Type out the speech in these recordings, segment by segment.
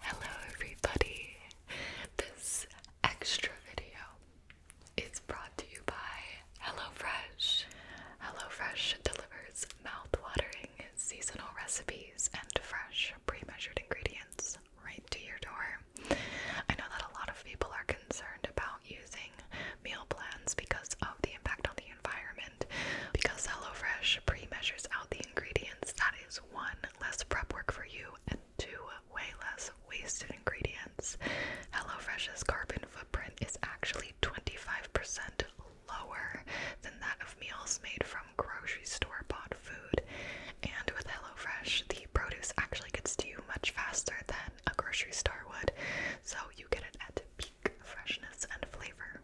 Hello, everybody. This extra video is brought to you by HelloFresh. HelloFresh delivers mouth-watering seasonal recipes and fresh, pre-measured ingredients right to your door. I know that a lot of people are concerned about using meal plans because of the impact on the environment. Because HelloFresh pre-measures out the ingredients, that is one less prep work for you and two way less wasted ingredients. HelloFresh's carbon footprint is actually 25% lower than that of meals made from grocery store bought food. And with HelloFresh, the produce actually gets to you much faster than a grocery store would, so you get it at peak freshness and flavor.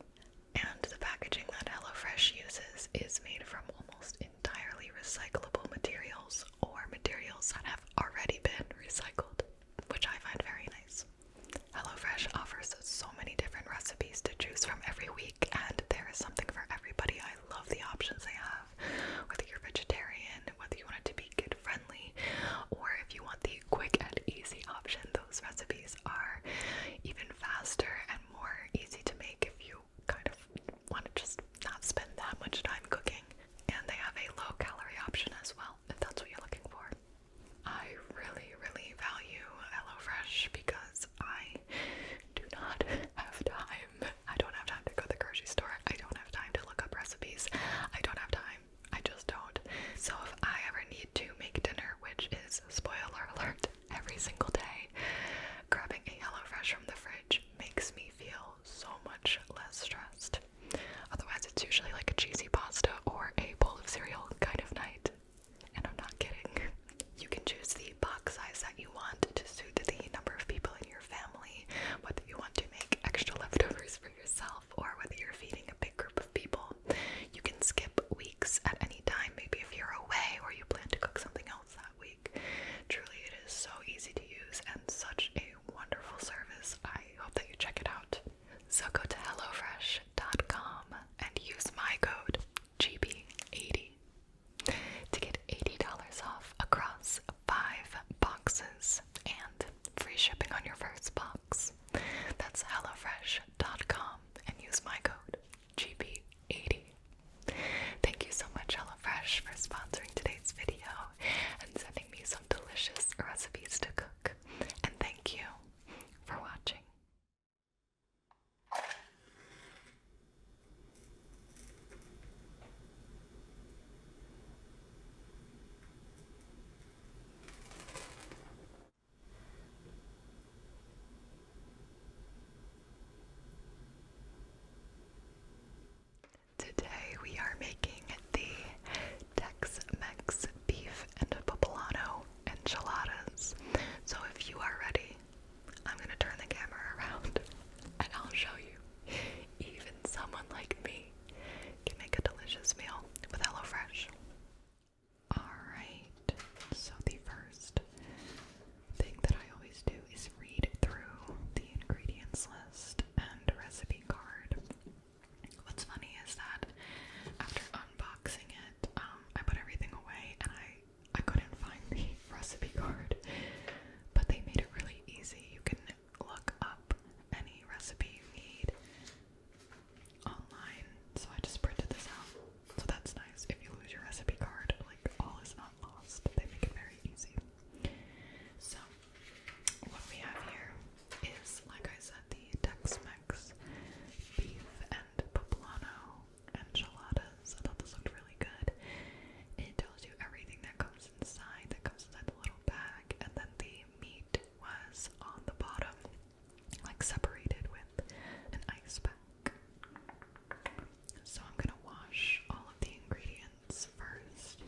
And the packaging that HelloFresh uses is made from almost entirely recyclable materials or materials that have already been recycled, which I find very nice. HelloFresh offers so many different recipes to choose from every week, and there is something for everybody. I love the options they have, whether you're vegetarian, whether you want it to be kid friendly, or if you want the quick and easy option, those recipes are even faster and and more easy to make if you kind of want to just not spend that much time cooking. And they have a low calorie option as well if that's what you're looking for. I really, really value HelloFresh because I do not have time. I don't have time to go to the grocery store. I don't have time to look up recipes. I don't have time. I just don't. So if I ever need to make dinner, which is spoiler alert, every single day. Grabbing a HelloFresh from the fridge makes me feel so much less stressed. Otherwise, it's usually like a cheesy pasta or a bowl of cereal kind of night. And I'm not kidding. You can choose the box size that you want to suit the number of people in your family, whether you want to make extra leftovers for yourself or whether you're feeding a big group of people. You can skip a week at any time, maybe if you're away or you plan to cook something else that week. Truly, it is so easy to use and such a wonderful service. I hope that you check it out. So go to HelloFresh.com and use my code GB80 to get $80 off across five boxes and free shipping on your first box. That's HelloFresh.com and use my code GB80. Thank you so much, HelloFresh, for sponsoring today's video and sending me some delicious recipes to cook. And thank you for watching. Today we are making the Tex-Mex beef and poblano enchiladas. So if you are ready, I'm gonna turn the camera around and I'll show you. Even someone like me can make a delicious meal with HelloFresh. Alright, so the first thing that I always do is read through the ingredients list and recipe card. What's funny is that after unboxing it, um, I put everything away and I, I couldn't find the recipe card, but they made it really easy. You can look up any recipe you need online, so I just printed this out. So that's nice. If you lose your recipe card, like all is not lost. They make it very easy. So what we have here is, like I said, the Tex-Mex beef and poblano enchiladas. I thought this looked really good. It tells you everything that comes inside, that comes inside the little bag, and then the meat was on the bottom like separated with an ice pack. So I'm gonna wash all of the ingredients first.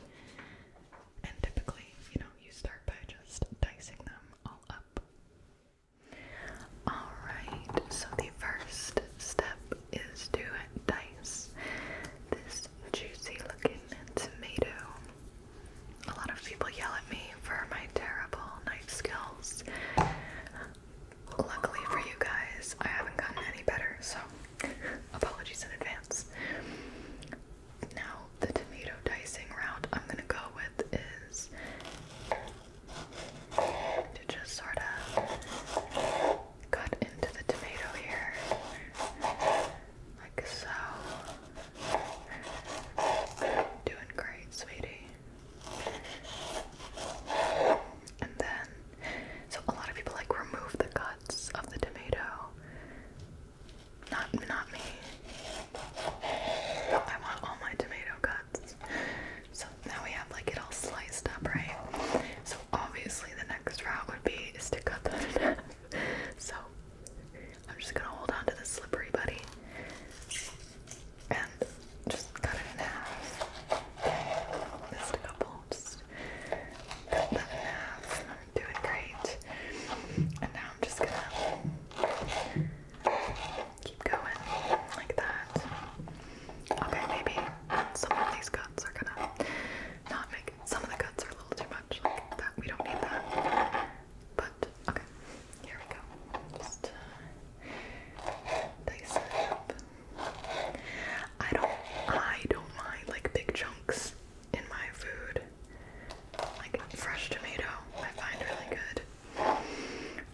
And typically, you know, you start by just dicing them all up. Alright, so the first step is to dice this juicy looking tomato a lot of people yell at me for my terrible knife skills. Luckily for you guys, I haven't gotten any better, so apologies in advance. Now, the tomato dicing route I'm gonna go with is to just sort of cut into the tomato here, like so. Doing great, sweetie. And then, so a lot of people like remove the guts of the tomato. Not, not me. I want all my tomato guts. So now we have like it all sliced up, right? So obviously the next route would be is to cut that So I'm just gonna hold on to this slippery buddy and just cut it in half. Missed a couple. Just cut that in half. doing great. And now I'm just gonna keep going like that. Okay, maybe some of these cuts are gonna not make some of the cuts are a little too much. Like that we don't need that. But okay, here we go. Just dice uh, it up. I don't, I don't mind like big chunks in my food. Like fresh tomato, I find really good.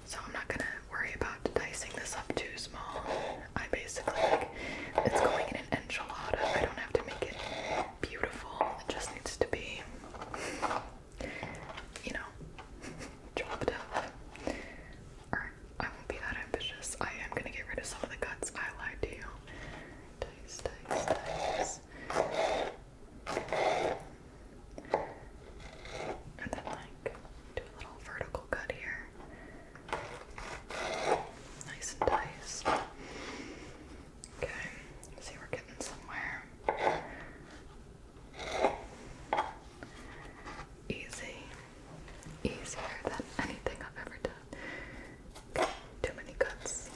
So I'm not gonna worry about dicing this up too small. I basically like it's going in an enchilada. I don't have to make it beautiful. It just needs to be you know, chopped up. Or I won't be that ambitious. I am gonna get rid of some of the cuts. I lied to you. Dice, dice, dice. And then like do a little vertical cut here. Nice and diced. Okay, see, we're getting somewhere. Easy. Easier than anything I've ever done. too many cuts.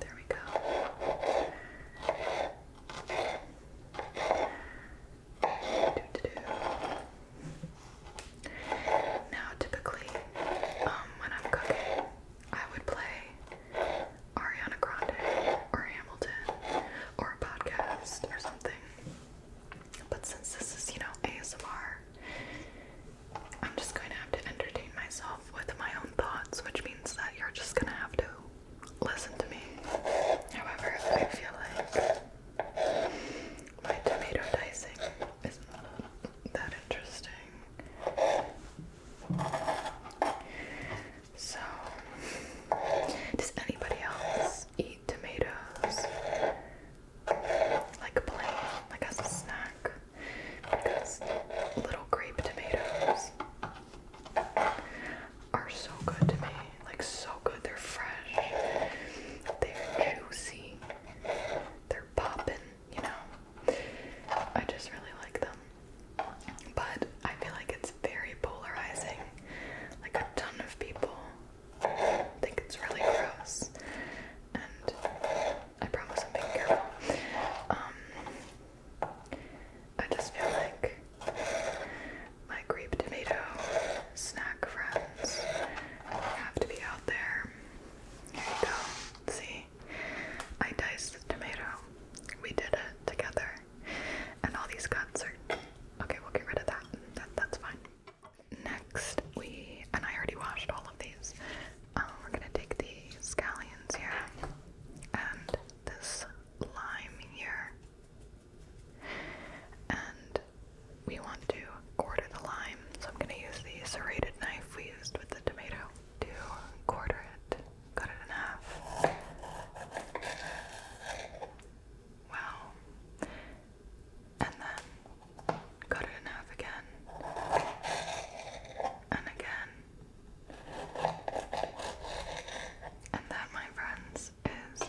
There we go. Do, do, do. Now, typically, um, when I'm cooking, I would play Ariana Grande or Hamilton or a podcast or something. But since this is, you know, ASMR, I'm just going to have to entertain myself with my own thoughts, which means that you're just going to have to listen to me. However, I feel like my tomato dicing isn't that interesting. So, does anybody else eat tomatoes? Like plain, like as a snack? Because little grape tomatoes are so good to me. Like, so good. They're fresh, they're juicy, they're popping you know. I just really like them. But I feel like it's very polarizing. Like a ton of people think it's really gross. And I promise I'm being careful. Um, I just feel like my grape tomato snack friends have to be out there. Here you go. See? I diced the tomato. We did it together. And all these cuts are okay, we'll get rid of that. that's fine. Next we and I already washed all of these. Um, we're gonna take the scallions here and this lime here. And we want to quarter the lime, so I'm gonna use the serrated knife we used with the tomato to quarter it, cut it in half. Wow. And then cut it in half again. And again. And that, my friends, is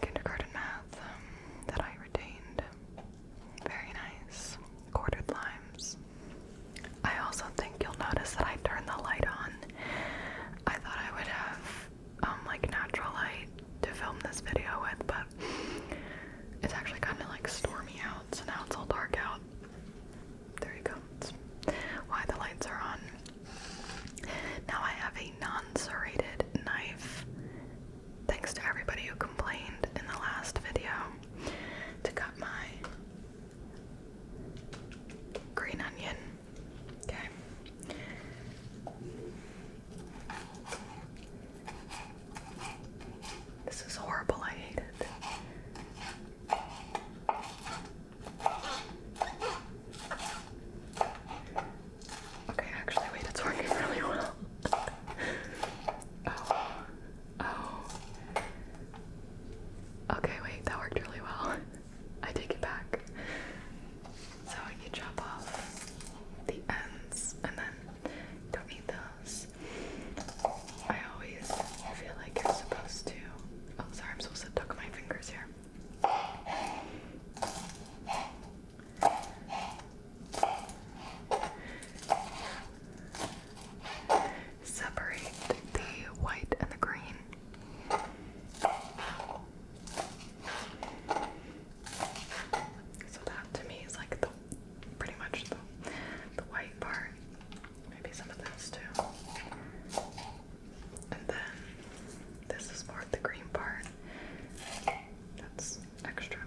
kindergarten math um, that I retained. Very nice. Quartered limes. I also think you'll notice that I turned the light on. I thought I would have um like natural light to film this video with, but it's actually kind of like stormy out, so now it's all dark out. There you go. why the lights are on. Now I have a non serrated knife thanks to everybody who complained in the last video, to cut my green onion. Okay. This is horrible. I hate it. Okay, actually, wait, it's working really well oh. Oh. Okay, wait, that worked really well. I take it back. So you chop off the ends and then don't need those. I always feel like you're supposed to. Oh, sorry, I'm supposed to tuck my fingers here. Separate the white and the green. So that to me is like the pretty much the, the white part. Maybe some of this too. And then this is more the green part. That's extra.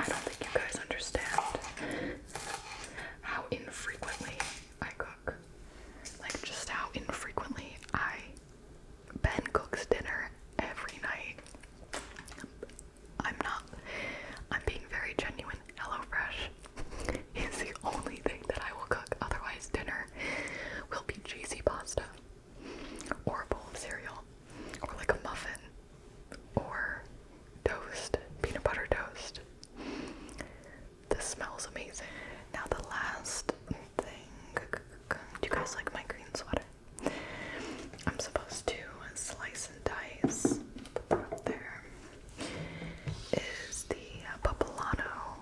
I don't think you guys understand how infrequently I cook. Like, just how infrequently I. Ben cooks dinner every night. I'm not. I'm being very genuine HelloFresh is the only thing that I will cook. Otherwise, dinner will be cheesy pasta, or a bowl of cereal, or like a muffin, or toast, peanut butter toast. This smells amazing. Now, the last thing do you guys like my green sweater? I'm supposed to slice and dice, put that up there is the uh, poblano,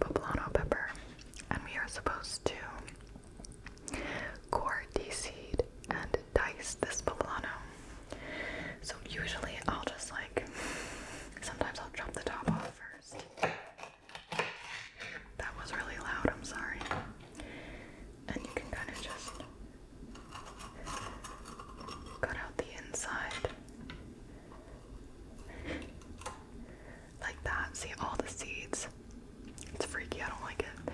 poblano pepper, and we are supposed to core, de-seed, and dice this poblano. So usually I'll just like, sometimes I'll chop the top off first. That was really loud, I'm sorry. And you can kind of just Cut out the inside. like that. See all the seeds? It's freaky. I don't like it.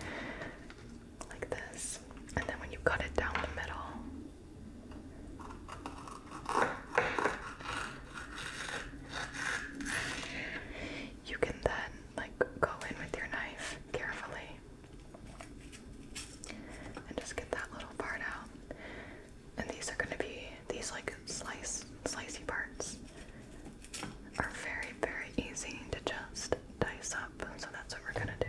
Like this. And then when you cut it down the middle, you can then like go in with your knife carefully and just get that little part out. And these are going to be these like slice, slicey parts are very, very easy to just dice up. So that's what we're going to do.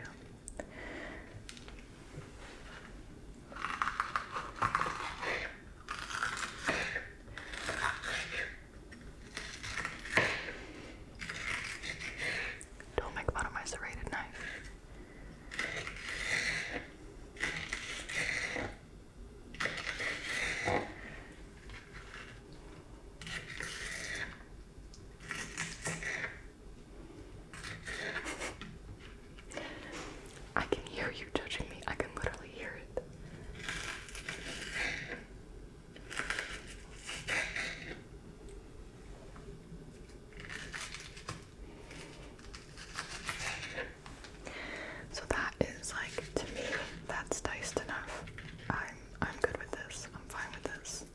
Don't make fun of my serrated knife. I can hear you judging me. I can literally hear it. So that is like to me that's diced enough. I'm I'm good with this. I'm fine with this.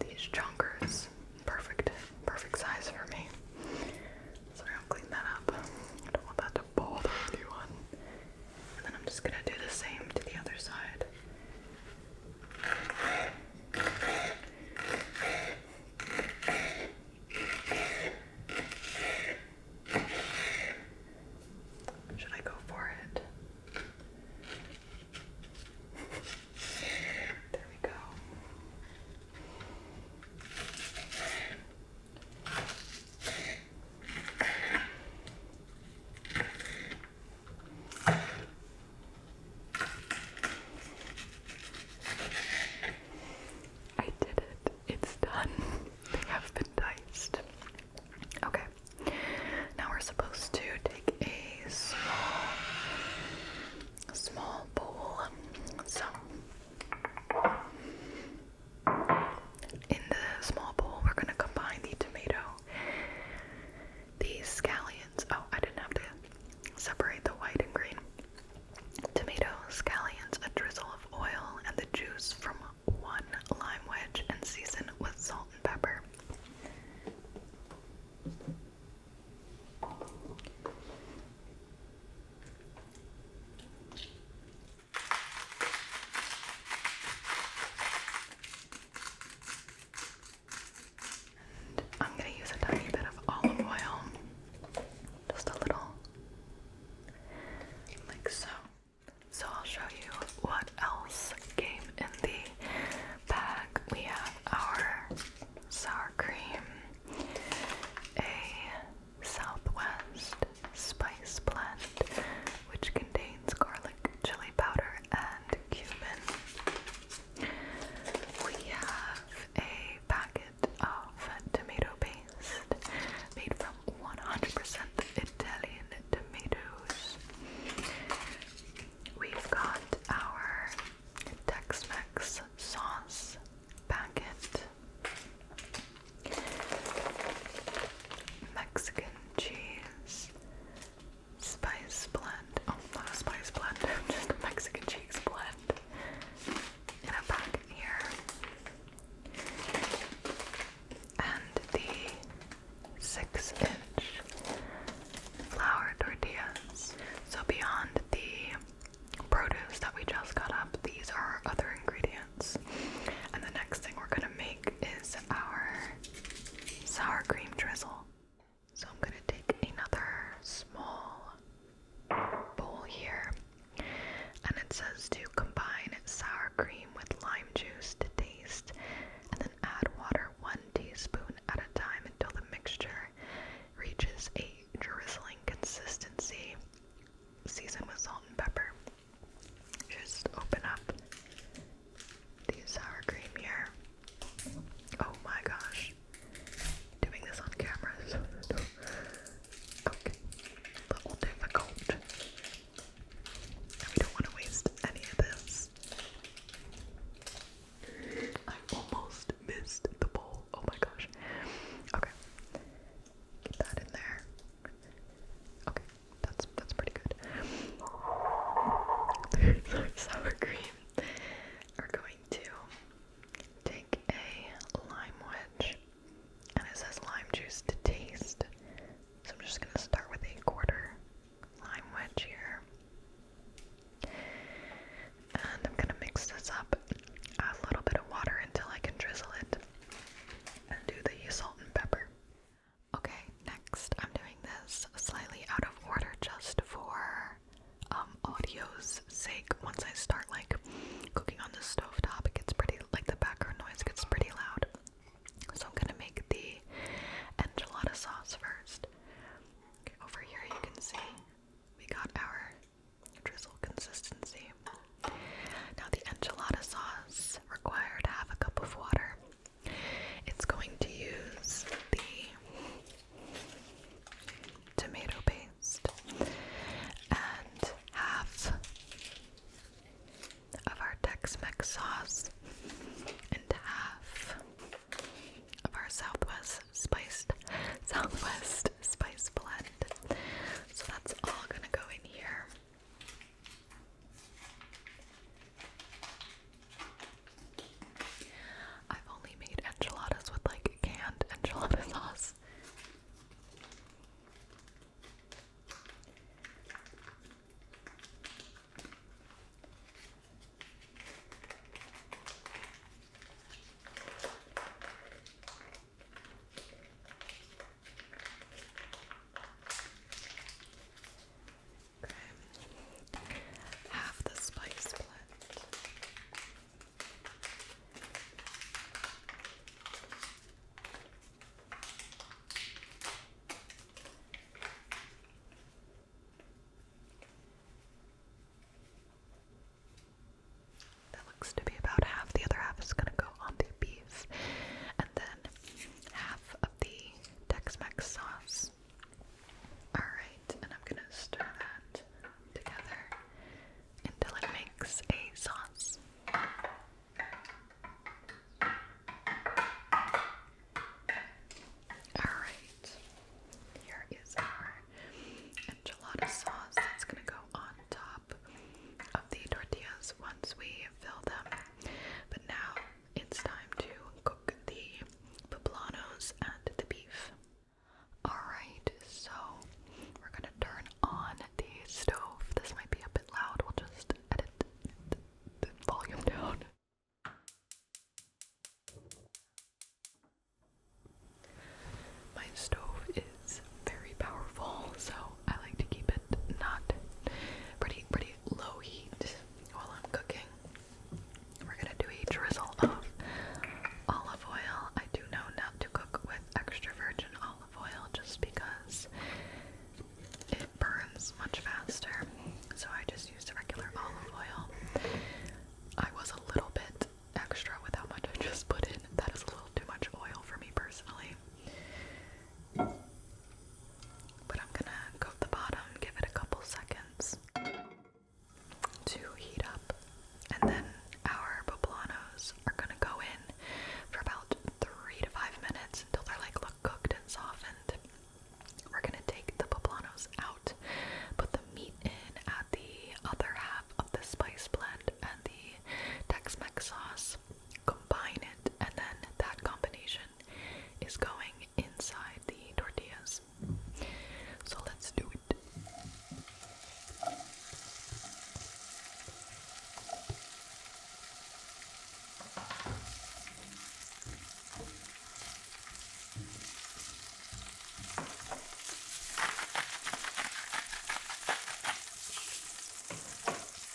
These chunkers, perfect, perfect size for me. So I'll clean that up. don't want that to bother anyone. And then I'm just gonna do the same to the other side. Should I go for it? There we go. I did it. It's done. They have been diced. Okay. Now we're supposed to take a small small bowl. So in the small bowl we're gonna combine the tomato these scallions, oh, I didn't have to separate the white and green. Tomato, scallions, a drizzle of oil, and the juice from one lime wedge, and season with salt and pepper. I'm going to use a tiny bit of olive oil. Just a little. Like so. So I'll show you what else came in the bag. We have our sour cream, a Southwest spice blend, which contains garlic chili powder and cumin. We have a packet of tomato paste made from 100% Italian tomatoes. We've got our Tex-Mex sauce packet. Mexican cheese, Spice blend. Oh, not a spice blend, just Mexican cheese blend. In a packet here. And the six inch flour tortillas. So beyond the produce that we just got up, these are other ingredients. And the next thing we're gonna make is our sour cream drizzle. So I'm gonna take another small bowl here, and it says to combine sour cream with lime juice to taste, and then add water one teaspoon at a time until the mixture reaches a drizzling consistency. Season with salt and pepper. Just open up the sour cream here. Oh my gosh. Doing this on camera is A little difficult. we don't want to waste any of this. I almost missed the bowl. Oh my gosh. Okay. Get that in there. Okay, that's that's pretty good. sour cream. We're going to take a lime wedge, and it says lime juice to taste. So I'm just gonna start with a quarter lime wedge here, and I'm gonna mix this up. a little bit of water until I can drizzle it, and do the salt and pepper. Okay, next I'm doing this slightly out of order just for um audio's sake. Once I start like cooking on the stove top, it gets pretty like the background noise gets pretty loud. So I'm gonna make the enchilada sauce first. Okay, over here you can see we got our drizzle consistency. Now, the enchilada sauce required half a cup of water. It's going to use the tomato paste and half of our Tex Mex sauce and half of our Southwest spiced Southwest spice blend. So that's all gonna go in here. I've only made enchiladas with like canned enchilada sauce. Okay. Half the spice blend. That looks to be about half. The other half is going to go on the beef, and then half of the Tex-Mex sauce. Alright, and I'm gonna stir that together until it makes a sauce. Alright, here is our enchilada sauce that's gonna go on top of the tortillas once we fill them. But now it's time to cook the poblanos and the beef. Alright, so we're gonna turn on the stove. This might be a bit loud, we'll just edit the, volume down. My stove it's very powerful, so I like to keep it not pretty pretty low heat while I'm cooking. We're gonna do a drizzle of olive oil. I do know not to cook with extra virgin olive oil just because it burns much faster. So I just used regular olive oil. I was a little bit extra with how much I just put in. That is a little too much oil for me personally. But I'm gonna coat the bottom, give it a couple seconds to heat up, and then our poblanos are gonna go in for about three to five minutes until they're like look cooked and softened. We're gonna take the poblanos out, put the meat in, at the other half of the spice blend and the Tex-Mex sauce, combine it, and then that combination is going inside the tortillas. So let's do it. Here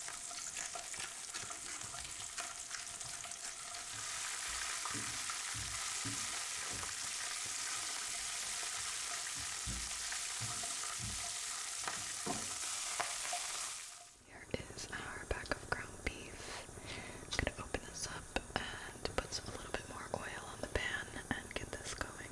is our pack of ground beef. I'm gonna open this up and put a little bit more oil on the pan and get this going.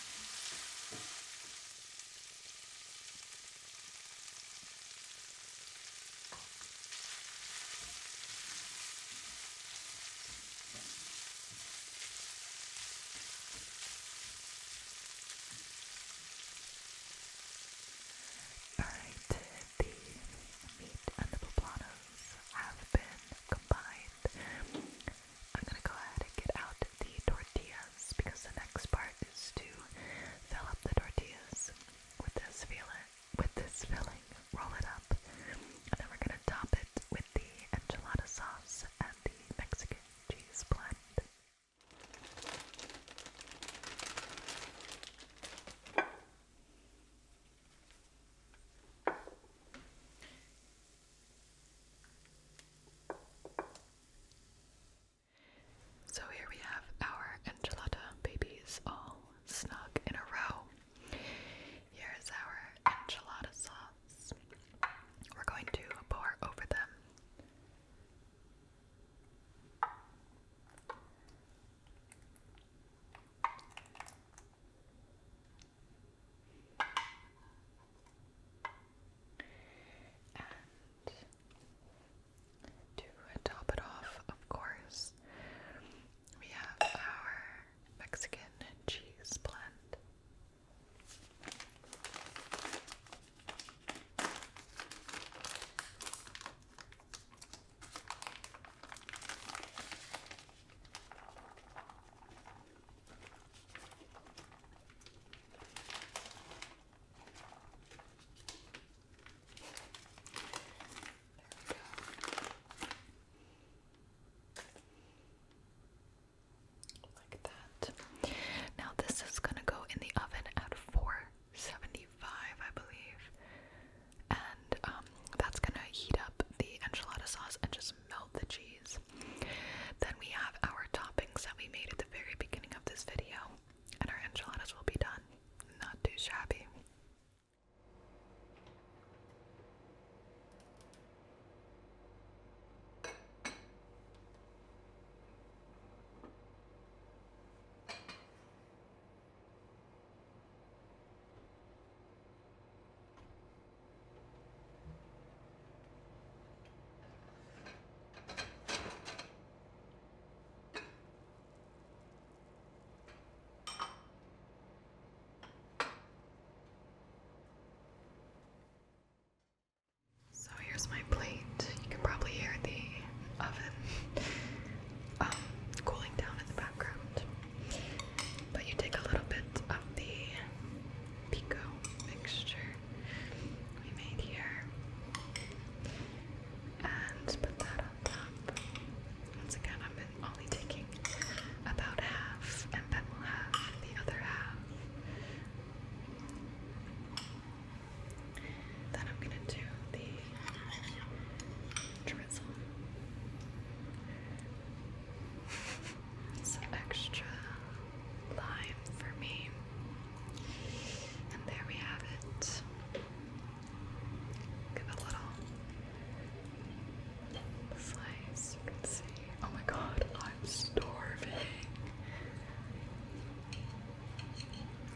Alright, the meat and the poblanos have been combined I'm gonna go ahead and get out the tortillas because the next part is to fill up the tortillas with this fillet, with this filling, roll it up, and then we're gonna top it with the enchilada sauce and the Mexican cheese blend. So here we have our enchilada babies all snuggled in a row. Here's our enchilada sauce. We're going to pour over them to top it off, of course, we have our Mexican cheese blend. Like that. Now this is gonna go in the oven at 475, I believe. And um, that's gonna heat up the enchilada sauce and just melt the cheese. Then we have our toppings that we made at the very beginning of this video, and our enchiladas will be done. Not too shabby. So here's my plate. You can probably hear the oven um, cooling down in the background. But you take a little bit of the pico mixture we made here and put that on top. Once again, I'm only taking about half, and then will have the other half. Then I'm gonna do the drizzle some extra lime for me. And there we have it. Give it a little slice, you can see. Oh my god, I'm starving.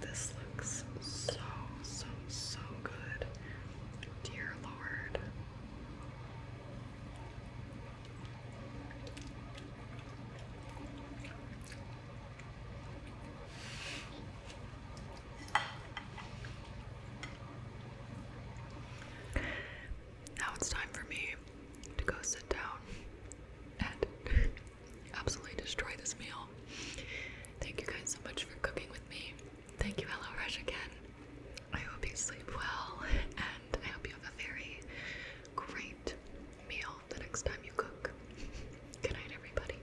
This looks so, so, so good. Dear Lord, now it's time for me to go sit down and absolutely destroy this meal. Thank you guys so much for cooking with me. Thank you, Hello Rush, again. I hope you sleep well, and I hope you have a very great meal the next time you cook. Good everybody.